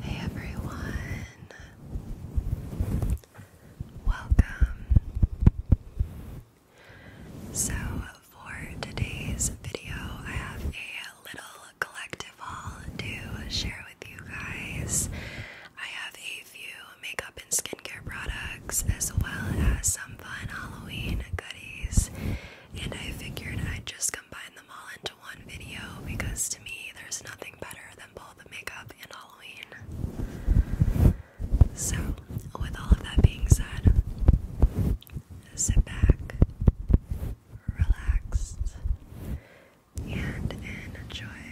Hey everyone, welcome. So, for today's video, I have a little collective haul to share with you guys. I have a few makeup and skincare products as well as some fun Halloween goodies and I figured I'd just combine them all into one video because to me there's nothing better than both the makeup and Halloween. So, with all of that being said, sit back, relax, and enjoy.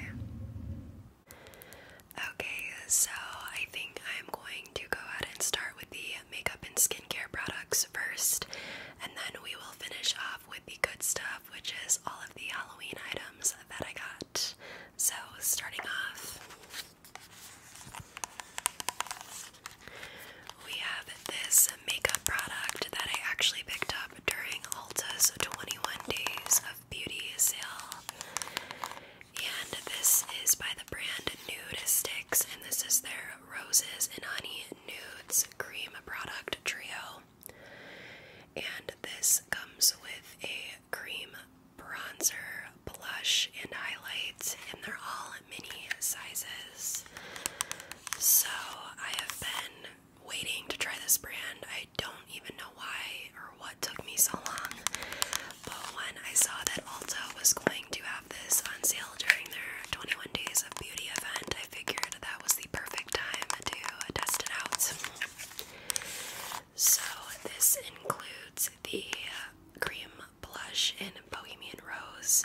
Okay, so I think I'm going to go ahead and start with the makeup and skincare products first, and then we will finish off with the good stuff, which is all of the Halloween items that I got. So, starting off, we have this makeup product that I actually picked up during Ulta's 21 Days of Beauty sale. And this is by the brand Nude Sticks, and this is their Roses and Honey Nudes Cream Product Trio. And this comes with a cream bronzer, blush, and highlights, and they're all mini sizes. So I have been waiting to try this brand. I don't even know why or what took me so long. But when I saw that Ulta was going to have this on sale during their 21 Days of Beauty event. I figured that was the perfect time to test it out. So, this includes the cream blush in Bohemian Rose,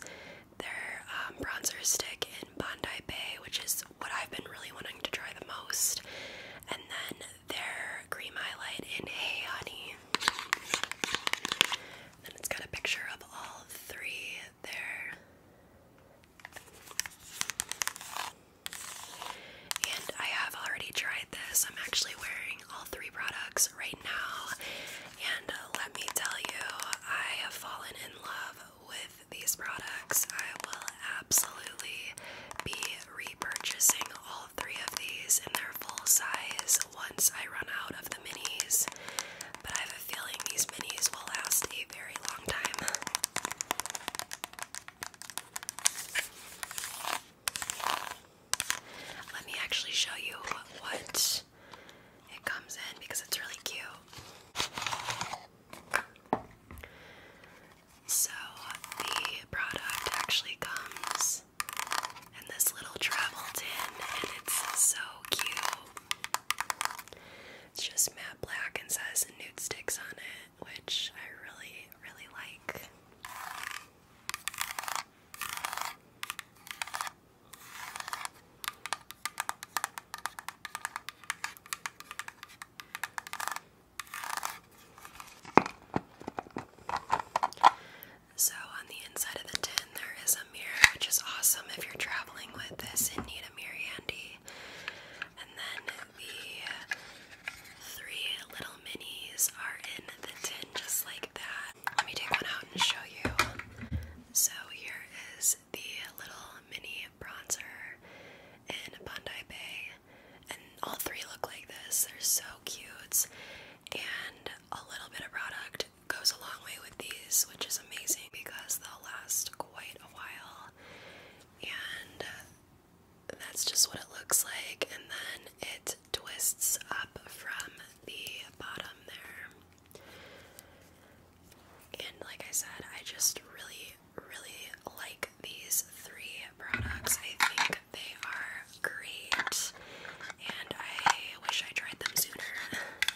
their um, bronzer stick in Bondi Bay, which is what I've been really wanting to try the most, and then their cream highlight in Hey Honey. Then it's got a picture of all three there. And I have already tried this. I'm actually wearing all three products right now. And let me tell you, I have fallen in love with these products. I will absolutely be repurchasing all three of these in their full size once I run out the minis, but I have a feeling these minis will last a very long time. Let me actually show you what it comes in because it's really cute. So, the product actually comes and this little travel tin, and it's so cute. It's just matte black and has says nude sticks on it, which I really, really like. So, on the inside of the tin, there is a mirror, which is awesome if you're traveling with this and need a mirror handy. And then the three little minis are in the tin, just like that. Let me take one out and show you. So, here is the little mini bronzer in Bondi Bay. And all three look like this. They're so cute. And a little bit of product goes a long way with these, which is amazing because they'll last quite a while. And uh, that's just what it looks like. And then it twists up from the bottom there. And like I said, I just really, really like these three products. I think they are great. And I wish I tried them sooner.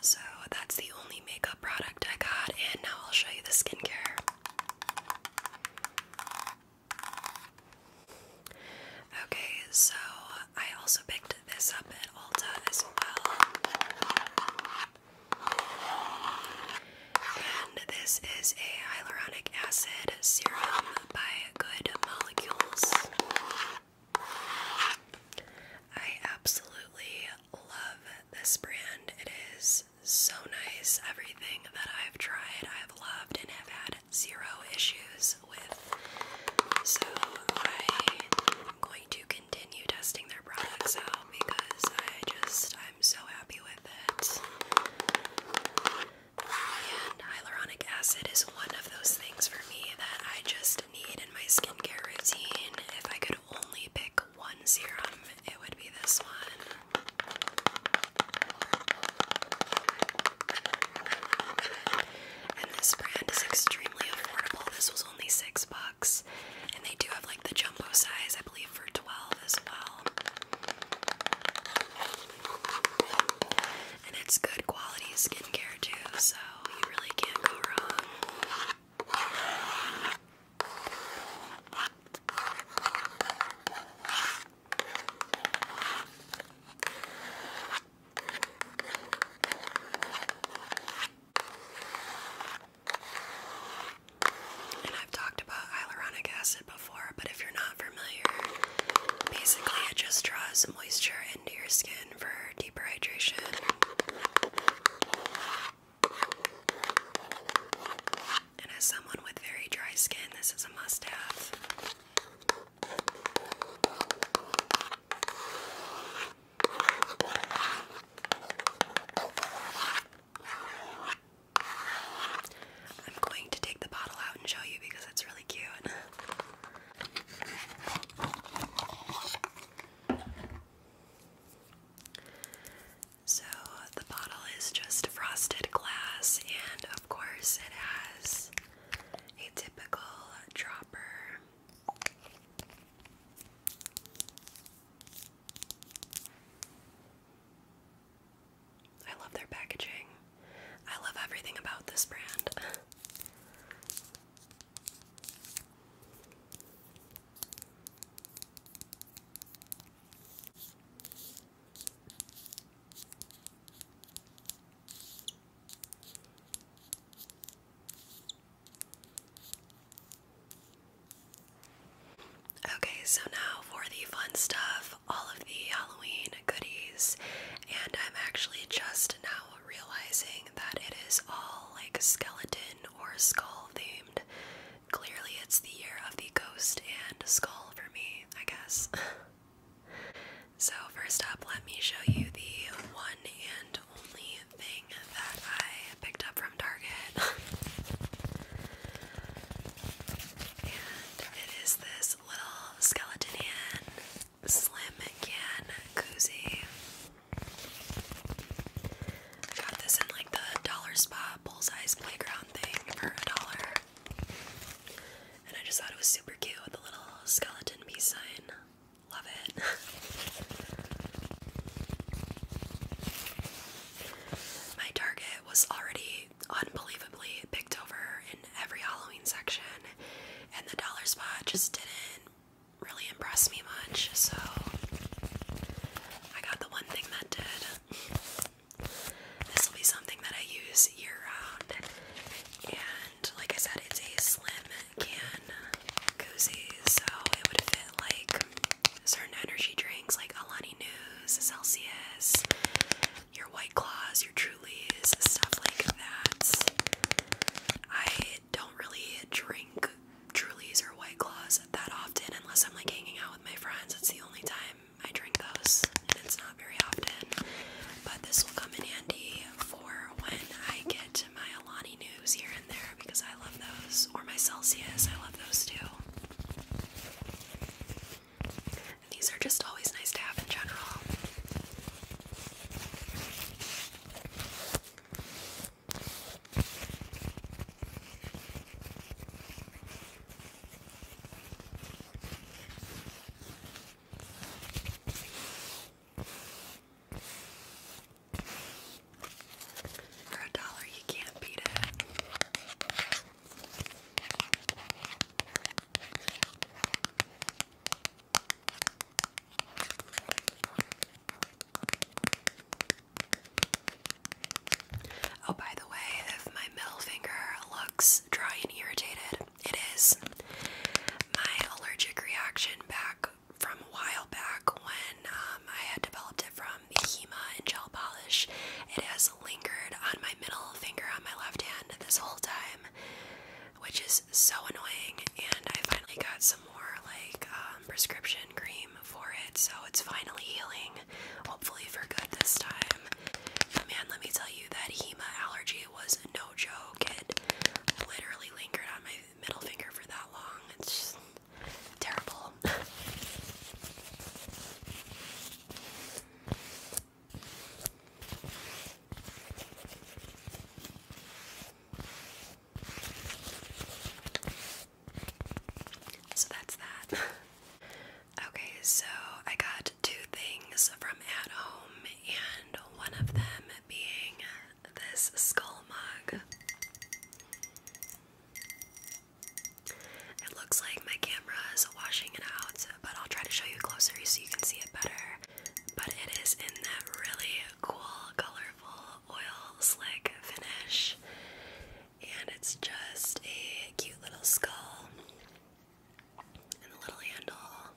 So that's the only makeup product I got, and now I'll show you the skincare. Okay, so I also picked this up at Ulta as well. And this is a hyaluronic acid serum by Good Molecules. I absolutely love this brand. It is so nice. Everything that I've tried, I've loved and have had zero issues with. So I'm going to continue testing their products out because I just, I'm so happy with it. And hyaluronic acid is one of those things for me that I just need in my skincare routine. If I could only pick one serum, it would be this one. And this brand is extremely affordable. This was only six bucks. And they do have like the jumbo size, I believe, for 12 as well. And it's good quality skincare too, so and I've talked about hyaluronic acid before, but if you're not familiar, basically it just draws moisture into your skin for deeper hydration. And as someone with very dry skin, this is a must have. I'm going to take the bottle out and show you because it's really cute. So the bottle is just frosted glass, and of course, it has a typical dropper. I love their packaging. I love everything about this brand. Okay, so now for the fun stuff, all of the Halloween goodies, and I'm actually just now realizing that it is all like skeleton or skull themed. Clearly, it's the year of the ghost and skull for me, I guess. so, first up, let me show you the one and only thing that I picked up from Target. and it is this little skeleton hand slim can cozy. I got this in like the dollar spot bullseyes playground thing for a dollar. And I just thought it was super cute with the little skeleton peace sign. Love it. My Target was already unbelievably picked over in every Halloween section, and the dollar spot just didn't really impress me much, so I got the one thing that did. This will be something that I use year round, and like I said, it's a slim can koozie, so it would fit like certain energy drinks like Alani News, Celsius, your White Claws, your Trulies, stuff like that. I don't really drink Trulies or White Claws that often unless I'm like hanging out with my friends. It's the only time I drink those, and it's not very often. But this will come in handy for when I get my Alani news here and there because I love those, or my Celsius, I love those too. these are just always nice to have in general. For a dollar, you can't beat it. Oh, by the way, if my middle finger looks dry and irritated, it is. My allergic reaction back from a while back when um, I had developed it from the Hema and gel polish, it has lingered on my middle finger on my left hand this whole time, which is so annoying. And I finally got some more like uh, um, prescription cream for it, so it's finally healing, hopefully for good this time. man, let me tell you, that HEMA allergy was no joke. It literally lingered on my middle finger for that long. It's just terrible. So that's that. okay, so I got two things from At Home, and one of them being this skull mug. It looks like my camera is washing it out, but I'll try to show you closer so you can see it better. But it is in that really cool color oil slick finish, and it's just a cute little skull, and the little handle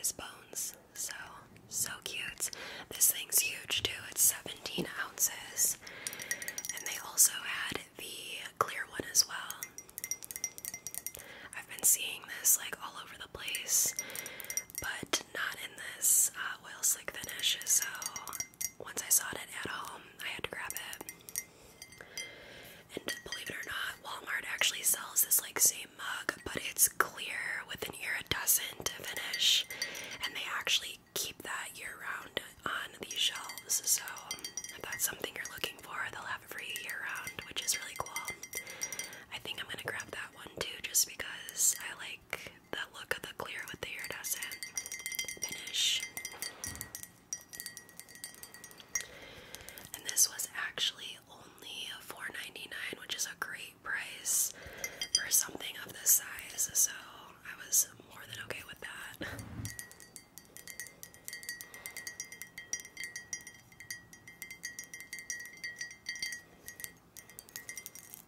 is bones. So, so cute. This thing's huge too, it's 17 ounces, and they also had the clear one as well. I've been seeing this like all over the place but not in this uh, oil slick finish. So once I saw it at home, I had to grab it. And believe it or not, Walmart actually sells this like same mug, but it's clear with an iridescent finish, and they actually keep that year round on these shelves. So if that's something you're looking for, they'll have it for you year round, which is really cool. I think I'm gonna grab that one too, just because I like that look of the clear with the iridescent finish. And this was actually only $4.99, which is a great price for something of this size, so I was more than okay with that.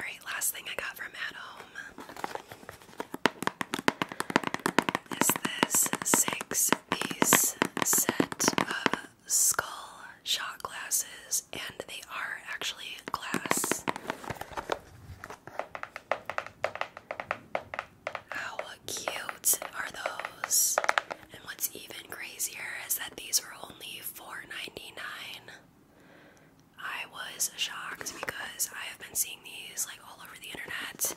All right, last thing I got from at home is this six these set of skull shot glasses, and they are actually glass. How cute are those? And what's even crazier is that these were only $4.99. I was shocked because I have been seeing these like all over the internet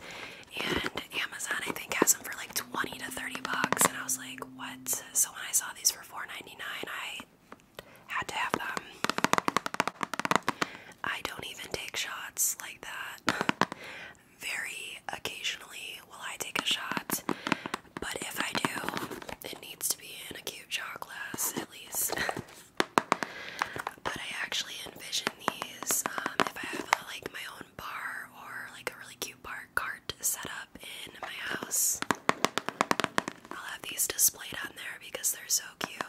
and Amazon I think has them for like 20 to 30 bucks and I was like what so when I saw these for 4.99 I had to have them I don't even take shots like that very occasionally will I take a shot but if I do it needs to be in a cute shot glass at least but I actually envision these um, if I have a, uh, like my own bar or like a really cute cute cart set up in my house. I'll have these displayed on there because they're so cute.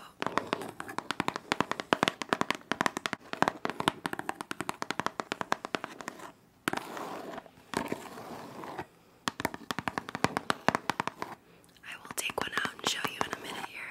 I will take one out and show you in a minute here.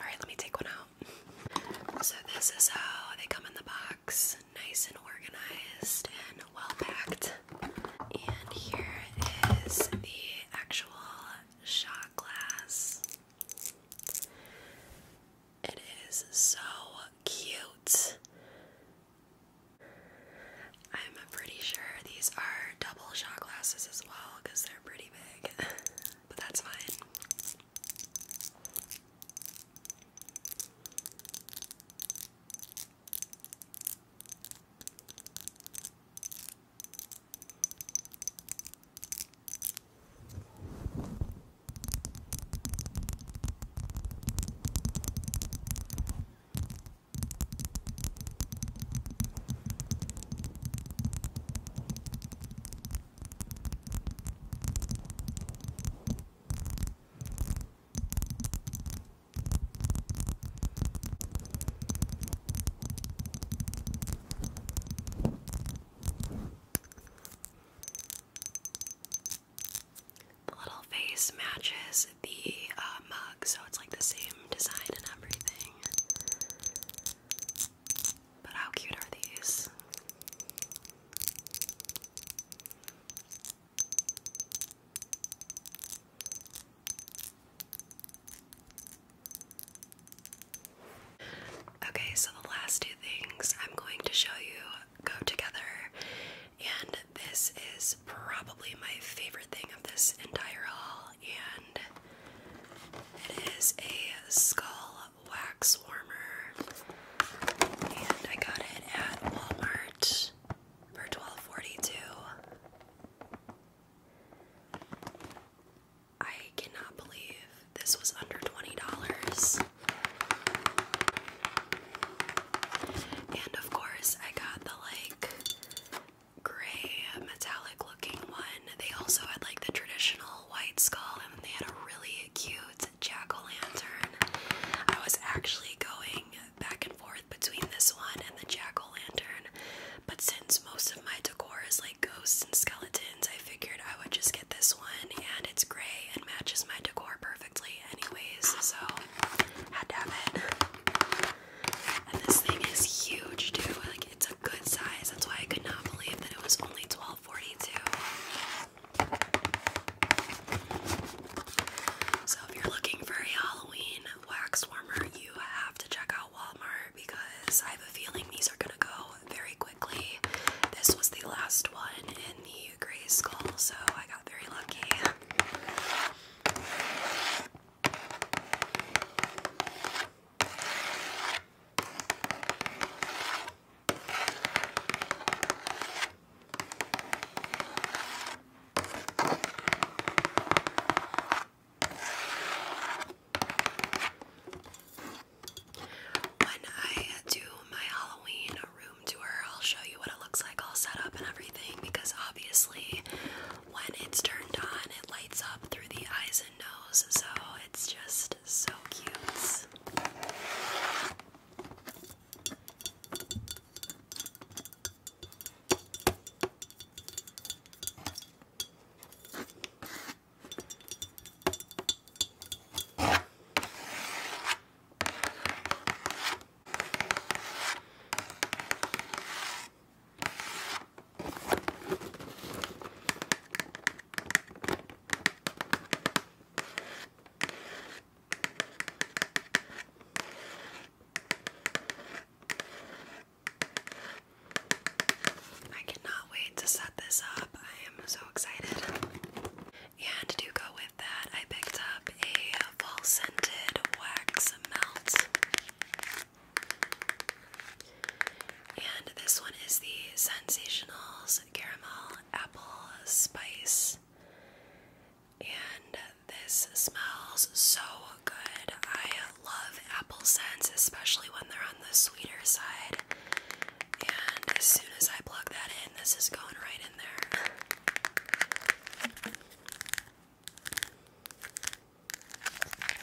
Alright, let me take one out. So, this is how they come in the box nice and organized and well packed. And here is the actual shot glass. It is so cute. I'm pretty sure these are double shot glasses as well because they're pretty big, but that's fine. The little face matches the uh, mug, so it's like the same design and everything. But how cute are these? Okay, so the last two things I'm going to show you go together, and this is probably my favorite thing of this entire haul, and it is a skull wax warmer, and I got it at Walmart for twelve forty-two. I cannot believe this was under twenty dollars. And of course, I got the like gray metallic looking one. They also had like the traditional white skull and they had a really cute jack-o'-lantern. I was actually going back and forth between this one and the jack-o'-lantern, but since most of my decor is like ghosts and skeletons, I figured I would just get this one and it's gray and matches my decor perfectly anyways, so had to have it. And this thing is huge too, like it's good size. That's why I could not believe that it was only twelve forty two. So if you're looking for a Halloween wax warmer, you have to check out Walmart because I have a feeling these are gonna go very quickly. This was the last one in the gray skull, so I got very lucky. When I do my Halloween room tour, I'll show you what it looks like all set up and everything because obviously when it's turned on, it lights up through the eyes so it's just so cute. I cannot wait to set this up. I am so excited. And to go with that, I picked up a fall scented wax melt. And this one is the Sensationals Caramel Apple Spice. And this smells so good. I love apple scents, especially when they're on the sweeter side. And as soon as I plug that in, this is going right in there.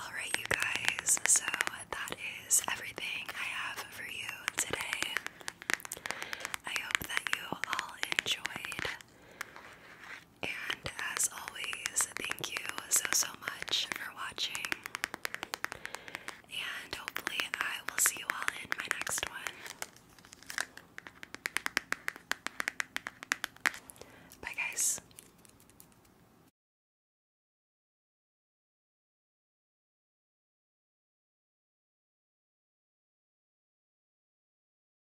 All right, you guys, so that is everything I have for you today. I hope that you all enjoyed and as always, thank you so, so much for watching. And hopefully, I will see you all in my next one. Bye, guys.